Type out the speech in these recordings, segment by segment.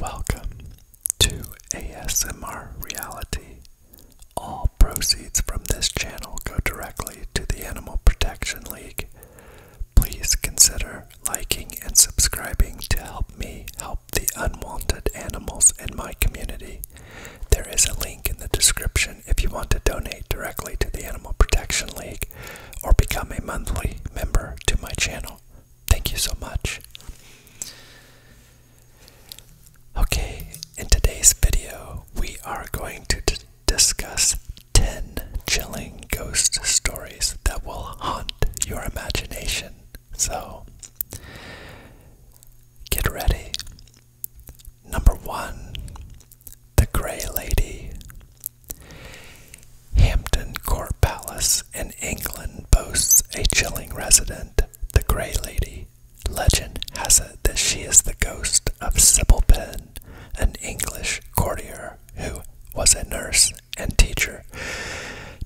Welcome to ASMR Reality. All proceeds from this channel go directly to the Animal Protection League. Please consider liking and subscribing to help me help the unwanted animals in my community. There is a link in the description if you want to donate directly to the Animal Protection League or become a monthly member to my channel. Thank you so much. Okay, in today's video, we are going to discuss 10 chilling ghost stories that will haunt your imagination. So, get ready. Number one, the Gray Lady. Hampton Court Palace in England boasts a chilling resident, the Grey Lady. Legend has it that she is the ghost of Sybil Penn, an English courtier who was a nurse and teacher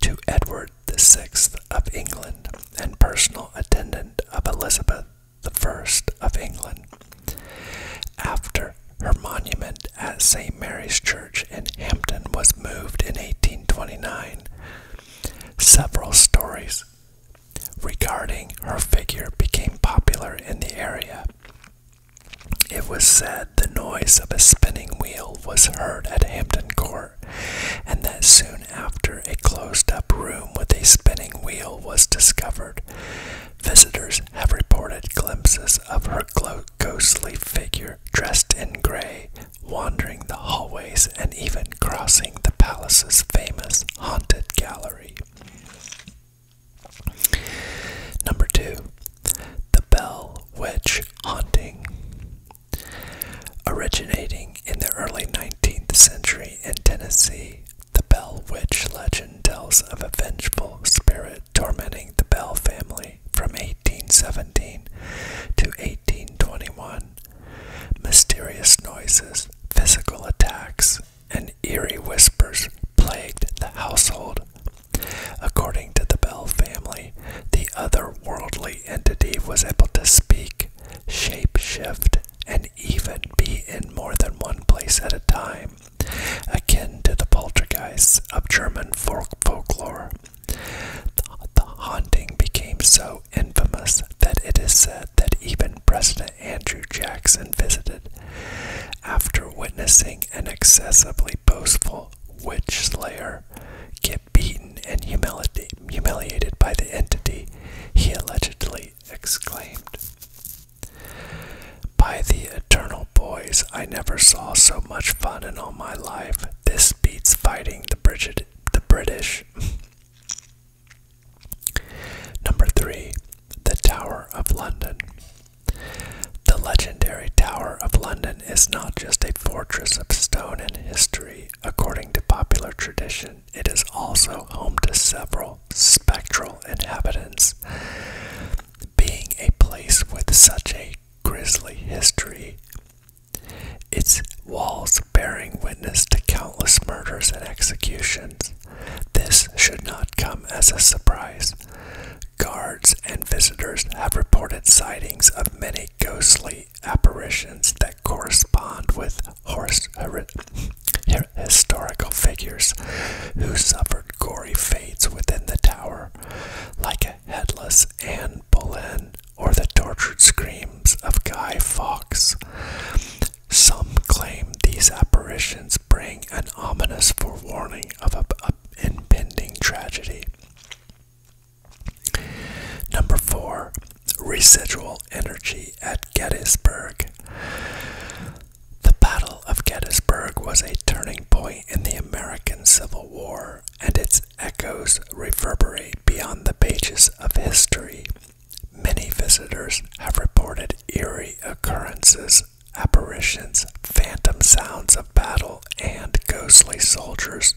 to Edward the Sixth of England and personal attendant of Elizabeth the First of England. After her monument at St. Mary's Church in Hampton was moved in 1829. Several stories regarding her figure became popular in the area. It was said the noise of a spinning wheel was heard at Hampton Court, and that soon after a closed up room with a spinning wheel was discovered. Visitors have reported glimpses of her ghostly figure dressed in gray wandering the hallways and even crossing the palace's famous haunted gallery. Number 2. The Bell Witch Haunting. Originating in the early 19th century in Tennessee, the Bell Witch legend tells of a vengeful spirit tormenting the Bell family from 1817 to 1821. Mysterious noises, physical attacks, and eerie whispers plagued the household. According to the Bell family, the otherworldly entity was able to speak, shape shift, and even be in more than one place at a time akin to the poltergeists of German folk folklore. The haunting became so infamous that it is said that even President Andrew Jackson visited after witnessing an excessively boastful witch slayer get beaten and humiliated by the entity, he allegedly exclaimed. By the eternal boys, I never saw so much fun in all my life. This beats fighting the, British. Number 3. The Tower of London. The legendary Tower of London is not just a fortress of stone and history. According to popular tradition, it is also home to several spectral inhabitants. Being a place with such a grisly history, its walls bearing witness to countless murders and executions, this should not come as a surprise. Guards and visitors have reported sightings of many ghostly apparitions that correspond with horse, historical figures who suffered gory fates within the tower, like a headless Anne Boleyn or the tortured screams of Guy Fawkes. Some claim these apparitions bring an ominous forewarning of an impending tragedy. Number 4. Residual energy at Gettysburg. The Battle of Gettysburg was a turning point in the American Civil War, and its echoes reverberate beyond the pages of history. Many visitors have reported eerie occurrences, apparitions, phantom sounds of battle, and ghostly soldiers.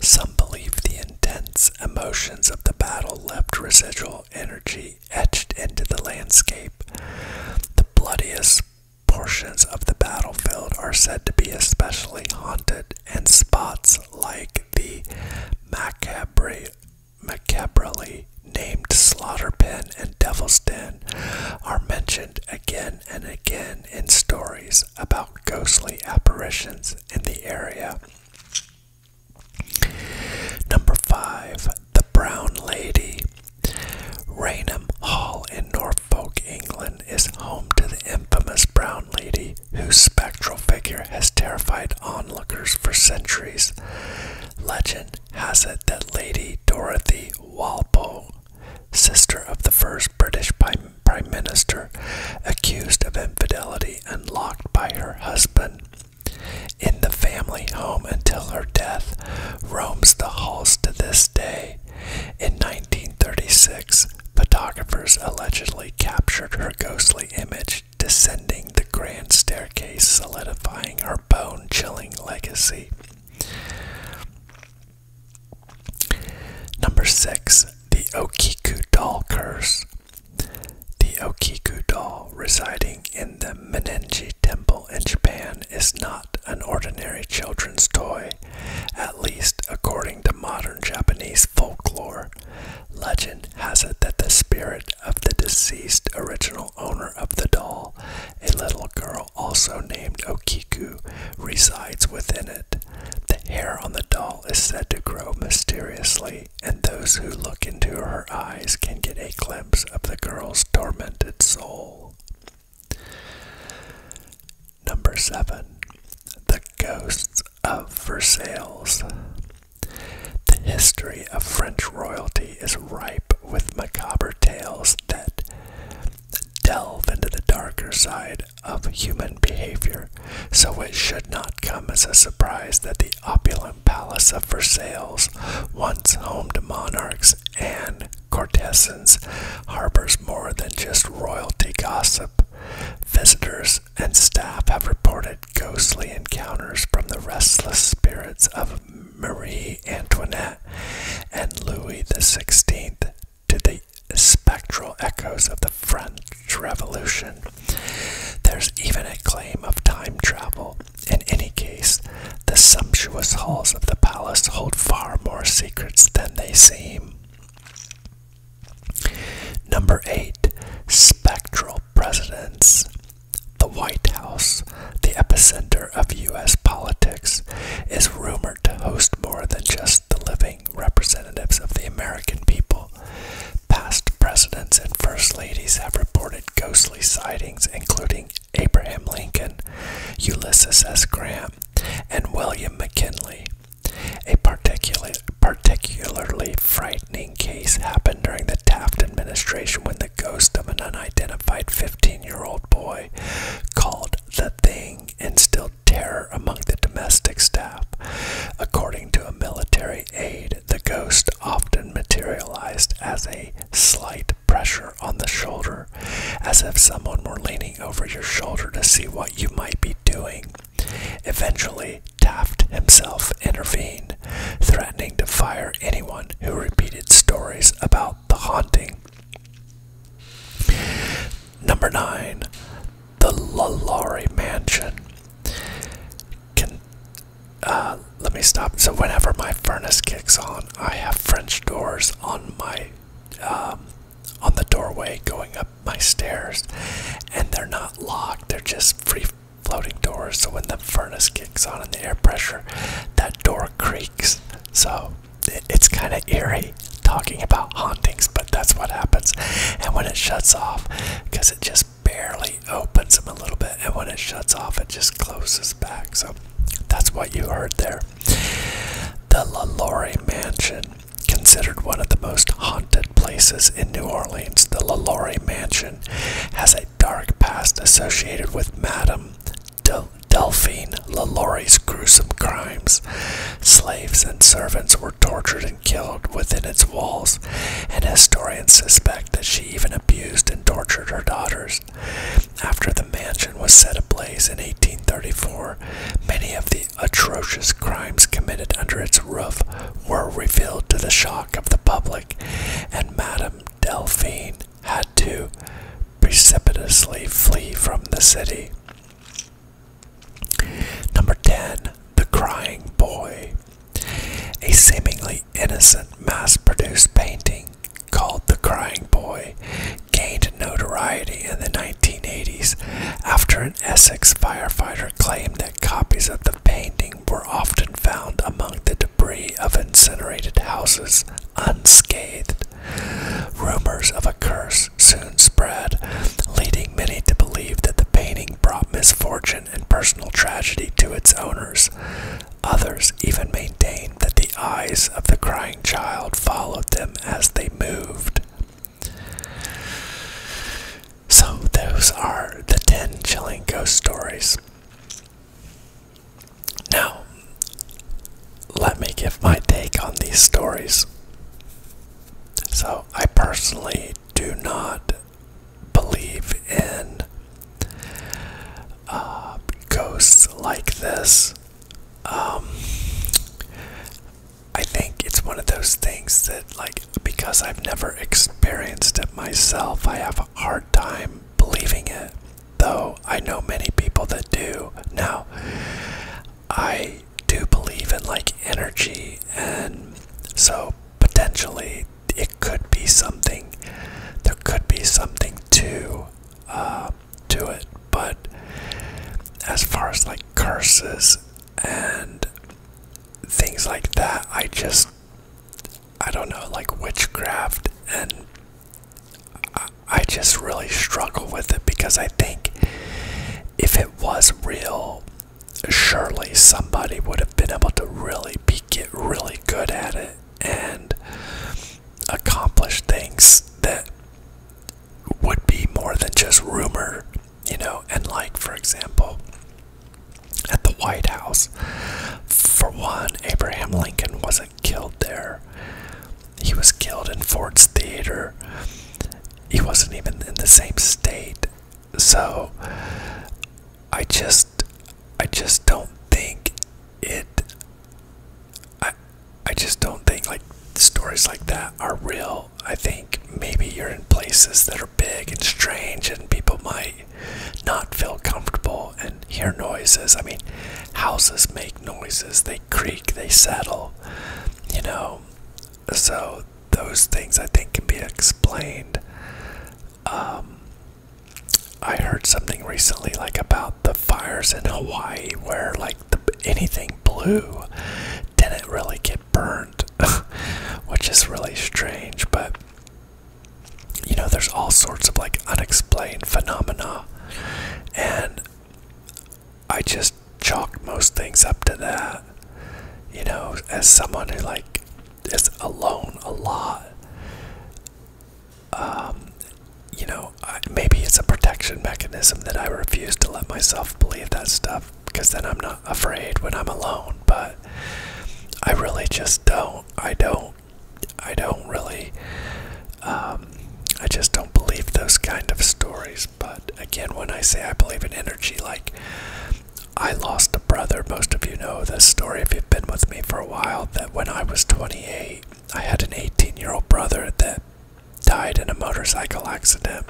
Some believe the intense emotions of the battle left residual energy etched into the landscape. The bloodiest portions of the battlefield are said to be especially haunted, and spots like the macabre, macabrely named Slaughter Pen and Devil's Den are mentioned again and again in stories about ghostly apparitions in the area. Number 5 the Brown Lady. Raynham Hall in Norfolk, England, is home to the infamous Brown Lady, whose spectral figure has terrified onlookers for centuries. Legend has it that Lady Dorothy Walpole, sister of the first British Prime Minister, accused of infidelity and locked by her husband, in the family home until her death roams the halls to this day. In 1936, photographers allegedly captured her ghostly image descending the grand staircase, solidifying her bone chilling legacy. Number 6. The Okiku Doll Curse. The Okiku doll residing in the Menenji Temple in Japan is not an ordinary children's toy, at least according to modern Japanese folklore. Legend has it that the spirit of the deceased original owner of the doll, a little girl also named Okiku, resides within it. The hair on the doll is said to grow mysteriously and those who look into her eyes can get a glimpse of the girl's tormented soul. Number 7. The Ghosts of Versailles. The history of French royalty is ripe with macabre tales that delve into the darker side of human behavior, so it should not come as a surprise that the opulent palace of Versailles, once home to monarchs and courtesans, harbors more than just royalty gossip. Visitors and staff have reported ghostly encounters from the restless spirits of Marie Antoinette and Louis XVI to the spectral echoes of the French Revolution. There's even a claim of time travel. In any case, the sumptuous halls of the palace hold far more secrets than they seem. Number 8. Spectral Presidents. The White House, the epicenter of U.S. politics, is rumored to host more than just the living representatives of the American people. Past presidents and first ladies have reported ghostly sightings, including Abraham Lincoln, Ulysses S. Grant, and William McKinley. A particular, particularly frightening case happened during the Taft administration when the ghost of an unidentified 15 year old boy called the Thing instilled terror among the domestic staff. According to a military aide, the ghost often materialized as a slight pressure on the shoulder, as if someone were leaning over your shoulder to see what you might be doing. Eventually, Taft himself intervened, threatening to fire anyone who repeated stories about the haunting. Number 9. The Lalaurie Mansion. Uh, let me stop. So whenever my furnace kicks on, I have French doors on my um, on the doorway going up my stairs, and they're not locked. They're just free floating doors. So when the furnace kicks on and the air pressure, that door creaks. So it's kind of eerie talking about hauntings, but that's what happens. And when it shuts off, because it just barely opens them a little bit, and when it shuts off, it just closes back. So that's what you heard there. The LaLaurie Mansion, considered one of the most haunted places in New Orleans, the LaLaurie Mansion has a dark past associated with Madame Delphine LaLaurie's gruesome crimes. Slaves and servants were tortured and killed within its walls, and historians suspect that she even abused and tortured her daughters. After the mansion was set ablaze in 1834, many of the atrocious crimes committed under its roof were revealed to the shock of the public, and Madame Delphine had to precipitously flee from the city. Number 10. The Crying Boy. A seemingly innocent mass produced painting called The Crying Boy gained notoriety in the 1980s after an Essex firefighter claimed that copies of the painting were often found among the debris of incinerated houses unscathed. Rumors of a curse soon spread, leading many to believe that the painting brought misfortune and personal tragedy to its owners. Others even maintained that the eyes of the crying child followed them as they moved. So, those are the 10 chilling ghost stories. Now, let me give my take on these stories. So, I personally do not believe in uh, ghosts like this. Um, I think it's one of those things that, like, because I've never experienced it myself, I have a hard time believing it. Though I know many people that do. Now, I do believe in like energy, and so potentially it could be something. There could be something to uh, to it, but as far as like curses and things like that, I just I don't know, like witchcraft, and I just really struggle with it because I think if it was real, surely somebody would have been able to really get really good at it and accomplish things that would be more than just rumor, you know. And, like, for example, at the White House, for one, Abraham Lincoln wasn't killed there, he was killed in Ford's Theater he wasn't even in the same state. So I just I just don't think it I I just don't think like stories like that are real. I think maybe you're in places that are big and strange and people might not feel comfortable and hear noises. I mean, houses make noises. They creak, they settle. You know, so those things I think can be explained. Um, I heard something recently, like about the fires in Hawaii, where like the, anything blue didn't really get burned, which is really strange. But you know, there's all sorts of like unexplained phenomena, and I just chalk most things up to that. You know, as someone who like is alone a lot. Um, you know, maybe it's a protection mechanism that I refuse to let myself believe that stuff because then I'm not afraid when I'm alone. But I really just don't. I don't. I don't really. Um, I just don't believe those kind of stories. But again, when I say I believe in energy, like I lost a brother. Most of you know this story if you've been with me for a while. That when I was 28, I had an 18 year old brother that died in a motorcycle accident.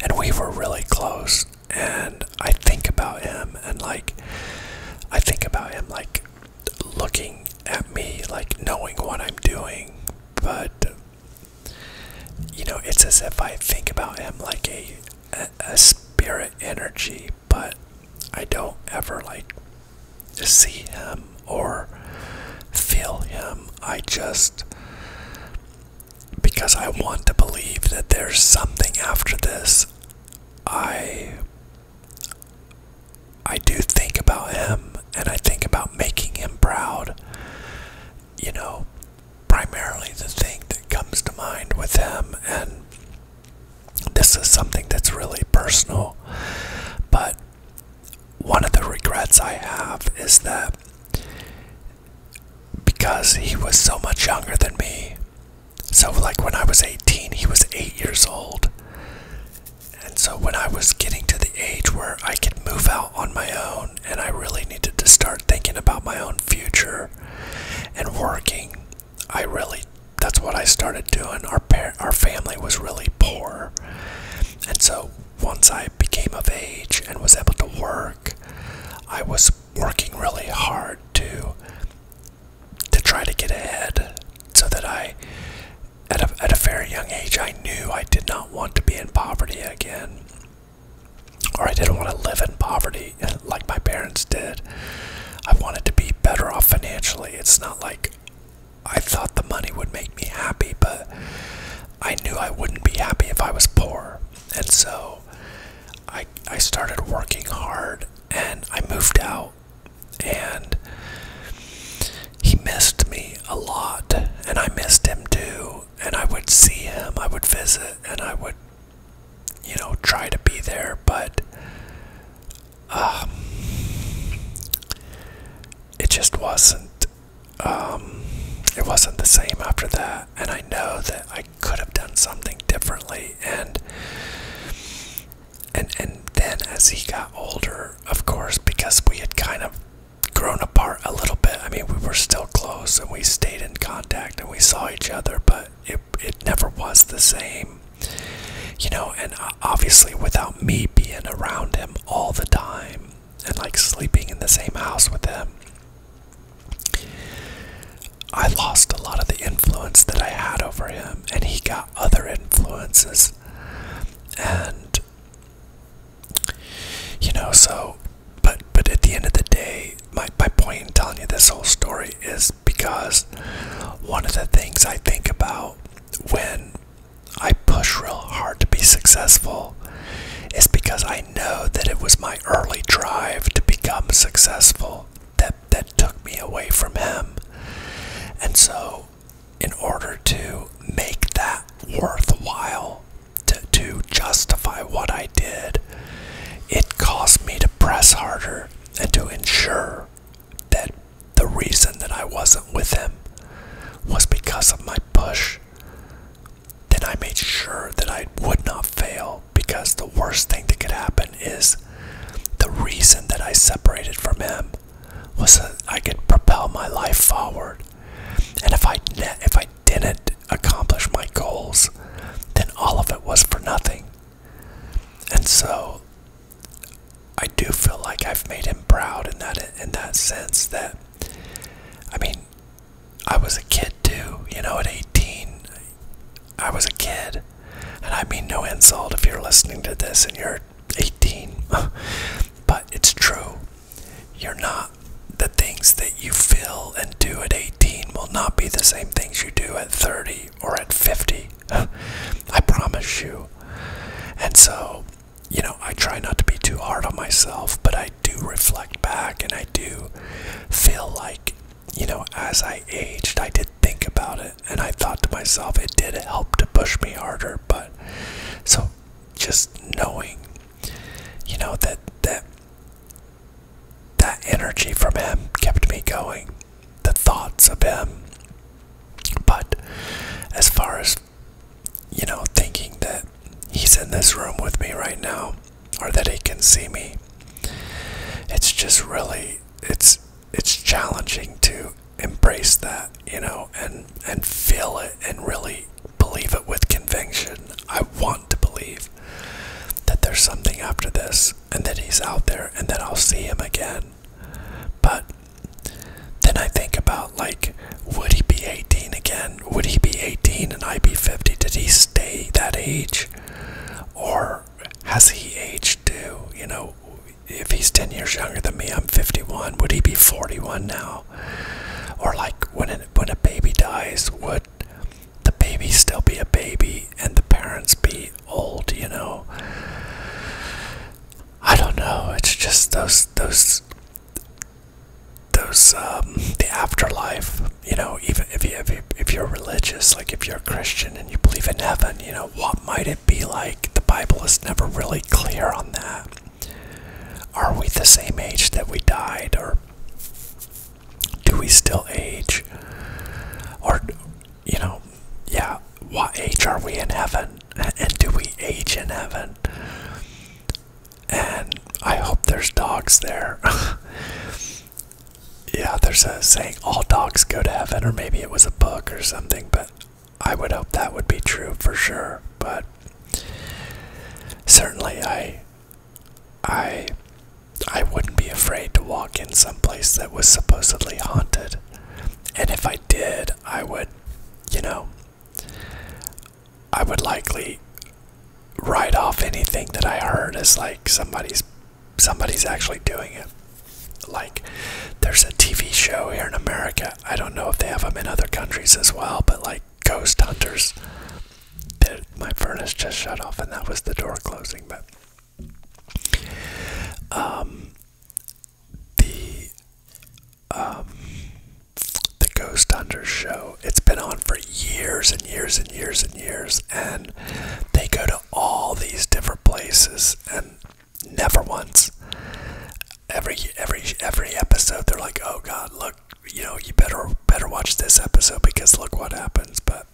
And we were really close. And I think about him and like, I think about him like looking at me, like knowing what I'm doing, but you know, it's as if I think about him like a, a, spirit energy, but I don't ever like see him or feel him. I just, because I want to believe that there's something after this, I I do think about him and I think about making him proud. You know, primarily the thing that comes to mind with him, and this is something that's really personal, but one of the regrets I have is that because he was so much younger than me, so like when I was 18, he was 8 years old. And so when I was getting to the age where I could move out on my own and I really needed to start thinking about my own future and working, I really that's what I started doing. Our parent, our family was really poor. And so once I became of age and was able to work, I was working really hard to to try to get ahead so that I at a, at a very young age, I knew I did not want to be in poverty again. Or I didn't want to live in poverty uh, like my parents did. I wanted to be better off financially. It's not like I thought the money would make me happy, but I knew I wouldn't be happy if I was poor. And so I, I started working hard and I moved out and he missed me a lot, and I missed him too. And I would see him, I would visit, and I would, you know, try to be there, but um, it just wasn't. Um, it wasn't the same after that, and I know that I could have done something differently, and and and then as he got older, of course, because we had kind of grown apart a little bit. I mean, we were still close and we stayed in contact and we saw each other, but it it never was the same. You know, and obviously without me being around him all the time and like sleeping in the same house with him, I lost a lot of the influence that I had over him, and he got other influences and you know so but but at the end of the day my, my point in telling you this whole story is because one of the things i think about when i push real hard to be successful is because i know that it was my early drive to become successful that that took me away from him and so in order to make that worthwhile, to, to justify what I did, it cost me to press harder and to ensure that the reason that I wasn't with him was because of my push. Then I made sure that I would not fail because the worst thing that could happen is the reason that I separated from him was that I could propel my life forward. And if I if I didn't accomplish my goals, then all of it was for nothing. And so I do feel like I've made him proud in that in that sense that I mean I was a kid too, you know, at 18 I was a kid and I mean no insult if you're listening to this and you're 18, but it's true. You're not. The things that you feel and do at 18 will not be the same things you do at 30 or at 50. I promise you. And so, you know, I try not to be too hard on myself, but I do reflect back and I do feel like, you know, as I aged, I did think about it and I thought to myself, it did help to push me harder. But so just knowing, you know, that that that energy from him kept me going. The thoughts of him. But as far as you know, thinking that he's in this room with me right now or that he can see me. It's just really it's it's challenging to embrace that, you know, and and feel it and really believe it with conviction. I want to believe that there's something after this and that he's out there and that I'll see him again. But then I think about like would he be 18 again? Would he be 18 and I be 50? Did he stay that age? Or has he aged too? You know, if he's 10 years younger than me, I'm 51. Would he be 41 now? Or like when a, when a baby dies, would the baby still be a baby and the parents be old? You know, I don't know. It's just those those those um, the afterlife. You know, even if you if if you're religious, like if you're a Christian and you believe in heaven, you know what might it be like? The Bible is never really clear on that. Are we the same age that we died, or do we still age? Or, you know, yeah, what age are we in heaven? And do we age in heaven? And I hope there's dogs there. yeah, there's a saying all dogs go to heaven, or maybe it was a book or something, but I would hope that would be true for sure. But certainly, I, I, I wouldn't be afraid to walk in some place that was supposedly haunted, and if I did, I would, you know, I would likely write off anything that I heard as like somebody's somebody's actually doing it. Like, there's a TV show here in America. I don't know if they have them in other countries as well, but like Ghost Hunters. Did, my furnace just shut off, and that was the door closing. But um, the um, the Ghost Hunters show. It's been on for years and years and years and years, and they go to all these different places and never once. Every every every episode, they're like, "Oh God, look, you know, you better better watch this episode because look what happens." But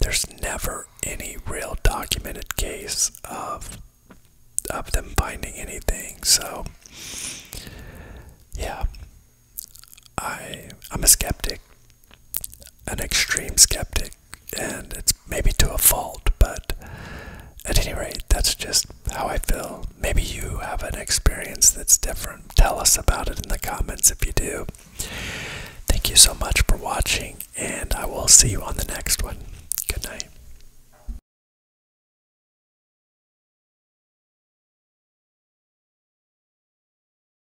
there's never any real documented case of of them finding anything. So yeah, I I'm a skeptic an extreme skeptic, and it's maybe to a fault, but at any rate, that's just how I feel. Maybe you have an experience that's different. Tell us about it in the comments if you do. Thank you so much for watching, and I will see you on the next one. Good night.